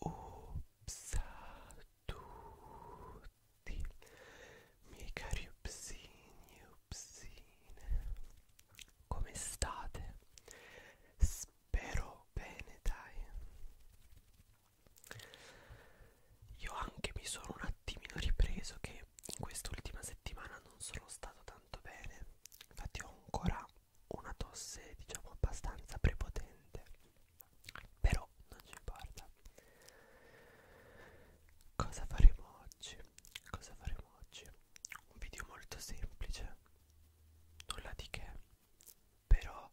Ups tutti, miei cari upsini e come state? Spero bene, dai. Io anche mi sono un attimino ripreso che in quest'ultima settimana non sono stato tanto bene, infatti ho ancora una tosse diciamo abbastanza prepotente, però non ci importa. Cosa faremo oggi? Cosa faremo oggi? Un video molto semplice, nulla di che, però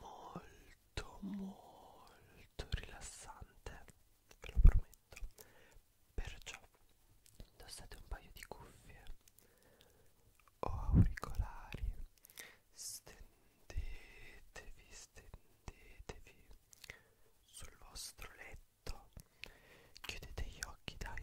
molto molto rilassante ve lo prometto perciò indossate un paio di cuffie o auricolari stendetevi stendetevi sul vostro letto chiudete gli occhi dai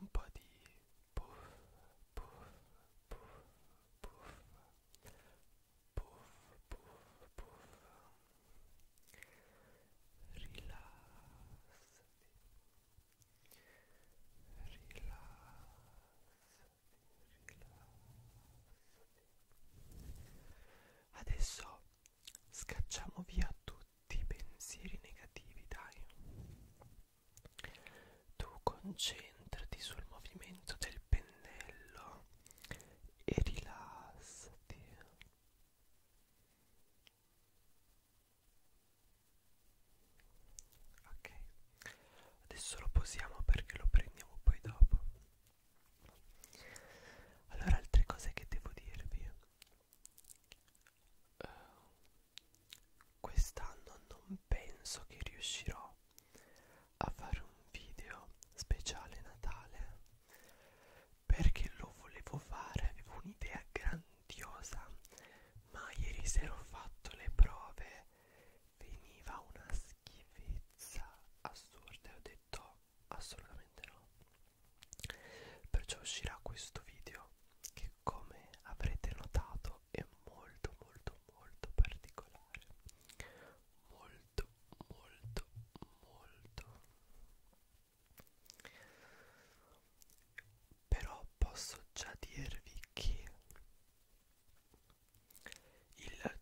un po' di puff puff puff puff puff puff puff rilassati rilassati rilassati adesso scacciamo via tutti i pensieri negativi dai tu concentrati sul movimento del pennello e rilassati ok adesso lo posiamo perché lo prendiamo poi dopo allora altre cose che devo dirvi uh, Quest'anno non penso che riuscirò a fare un video speciale Natale perché lo volevo fare, avevo un'idea grandiosa, ma ieri sera ho fatto le prove, veniva una schifezza assurda e ho detto assolutamente no. Perciò uscirà questo video che come avrete notato è molto molto molto particolare molto molto molto però posso già dirvi che il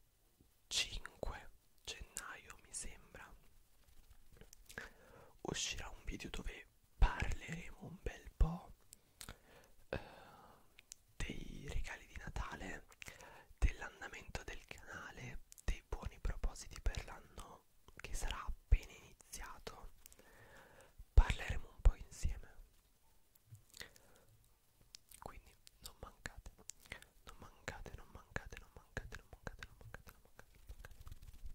5 gennaio mi sembra uscirà un video dove parleremo un bel po' eh, dei regali di Natale, dell'andamento del canale, dei buoni propositi per l'anno che sarà appena iniziato. Parleremo un po' insieme. Quindi non mancate, non mancate, non mancate, non mancate, non mancate, non mancate, non mancate. Non mancate.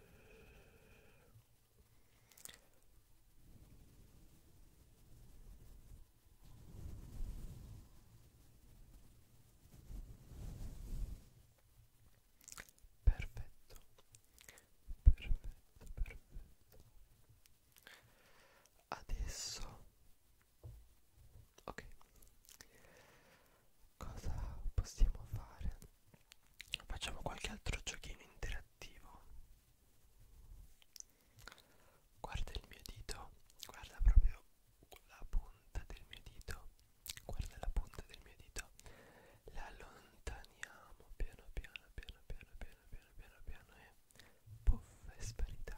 Perfetto, perfetto, perfetto. Adesso, ok, cosa possiamo fare? Facciamo qualche altro giochino interattivo. Guarda il mio dito, guarda proprio la punta del mio dito. Guarda la punta del mio dito. La allontaniamo piano piano piano piano piano piano piano piano e puff è sparita.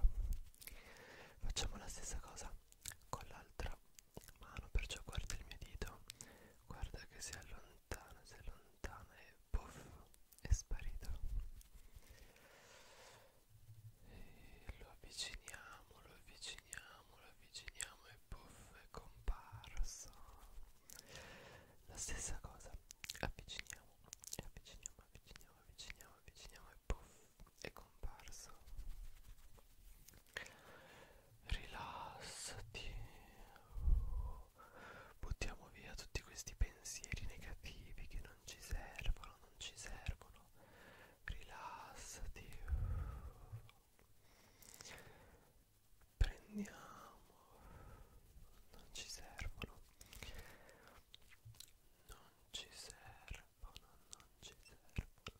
Facciamo la stessa cosa con l'altra mano perciò guarda il mio dito guarda che si allontana si allontana e puff è sparito e lo avviciniamo lo avviciniamo lo avviciniamo e puff è comparso la stessa cosa avviciniamo e avviciniamo avviciniamo avviciniamo avviciniamo e puff è comparso rilassati buttiamo via tutti questi pensieri negativi che non ci servono non ci servono rilassati prendiamo non ci servono non ci servono non ci servono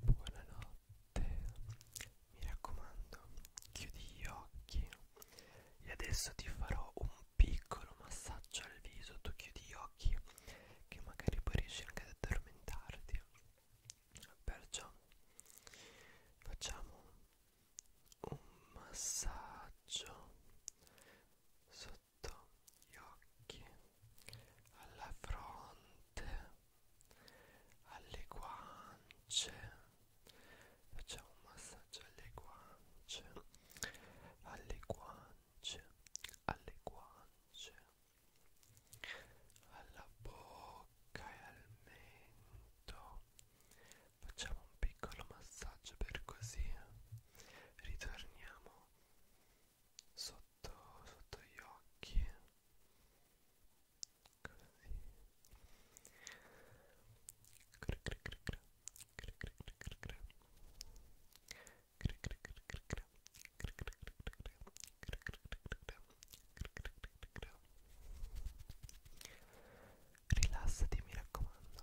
Buonanotte, mi raccomando, chiudi gli occhi e adesso ti farò un piccolo massaggio al viso, tu chiudi gli occhi che magari poi riesci anche ad addormentarti. Perciò facciamo un massaggio sotto gli occhi alla fronte, alle guance, facciamo un massaggio alle guance, alle guance, alle guance, alla bocca e al mento. Facciamo un piccolo massaggio per così ritorniamo sotto, sotto gli occhi così cri cri cri cri cri cri cri cri cri cri cri cri cri Rilassati mi raccomando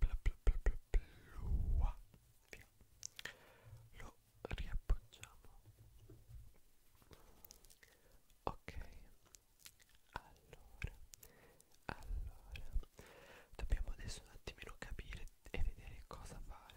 bla bla bla bla bla via lo riappoggiamo ok allora allora dobbiamo adesso un attimino capire e vedere cosa fare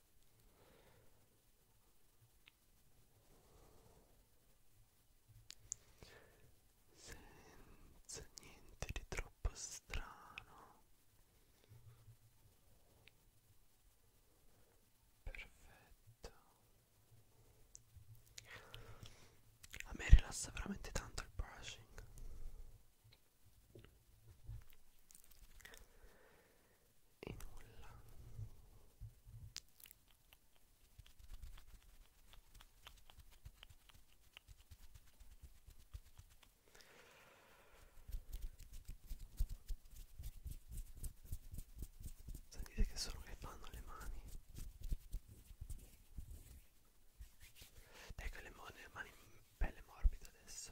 senza niente di troppo strano perfetto a me rilassa veramente tanto il brushing e nulla sentite che sono che fanno le mani ecco le, le mani belle morbide adesso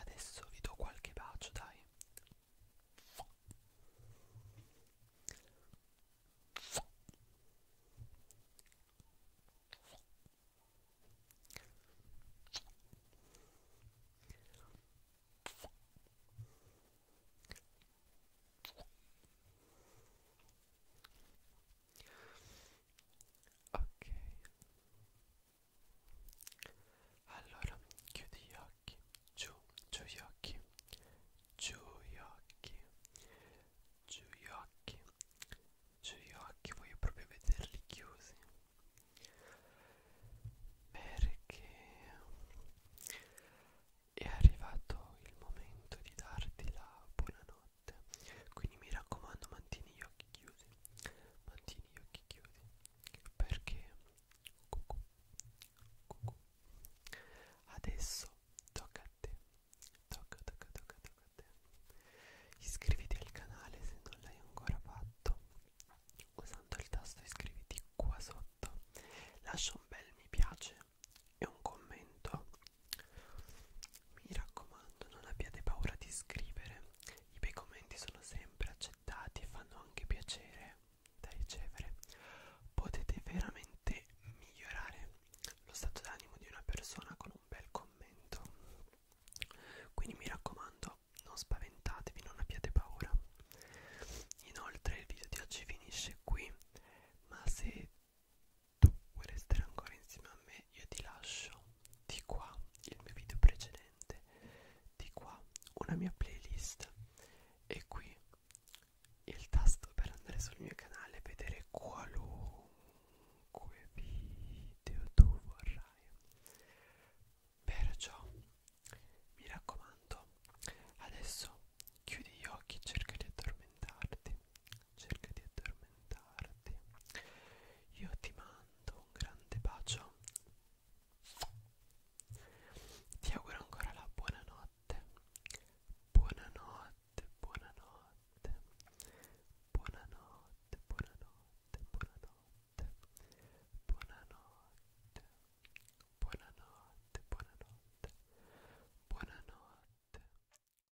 Adesso vi do qualche bacio, dai ok allora chiudi gli occhi giù giù gli occhi giù gli occhi giù gli occhi giù gli occhi voglio proprio vederli chiusi perché è arrivato il momento di darti la buonanotte notte quindi mi raccomando mantieni gli occhi chiusi mantieni gli occhi chiusi perché cucù, cucù. adesso tocca a te tocca tocca tocca tocca a te iscriviti al canale se non l'hai ancora fatto usando il tasto iscriviti qua sotto lascia un bel mi piace e un commento mi raccomando, non abbiate paura di scrivere, i bei commenti sono sempre accettati e fanno anche piacere da ricevere. Potete veramente migliorare lo stato d'animo di una persona con un bel commento. Quindi mi raccomando, non spaventatevi, non abbiate paura. Inoltre il video di oggi finisce qui, ma se tu vuoi restare ancora insieme a me io ti lascio di qua il mio video precedente di qua una mia playlist e qui il tasto per andare sul mio canale e vedere qualunque video tu vorrai perciò mi raccomando adesso chiudi gli occhi e cerca di addormentarti cerca di addormentarti io ti mando un grande bacio ti auguro ancora la buonanotte buonanotte buonanotte buonanotte buonanotte buonanotte buonanotte buonanotte buonanotte buonanotte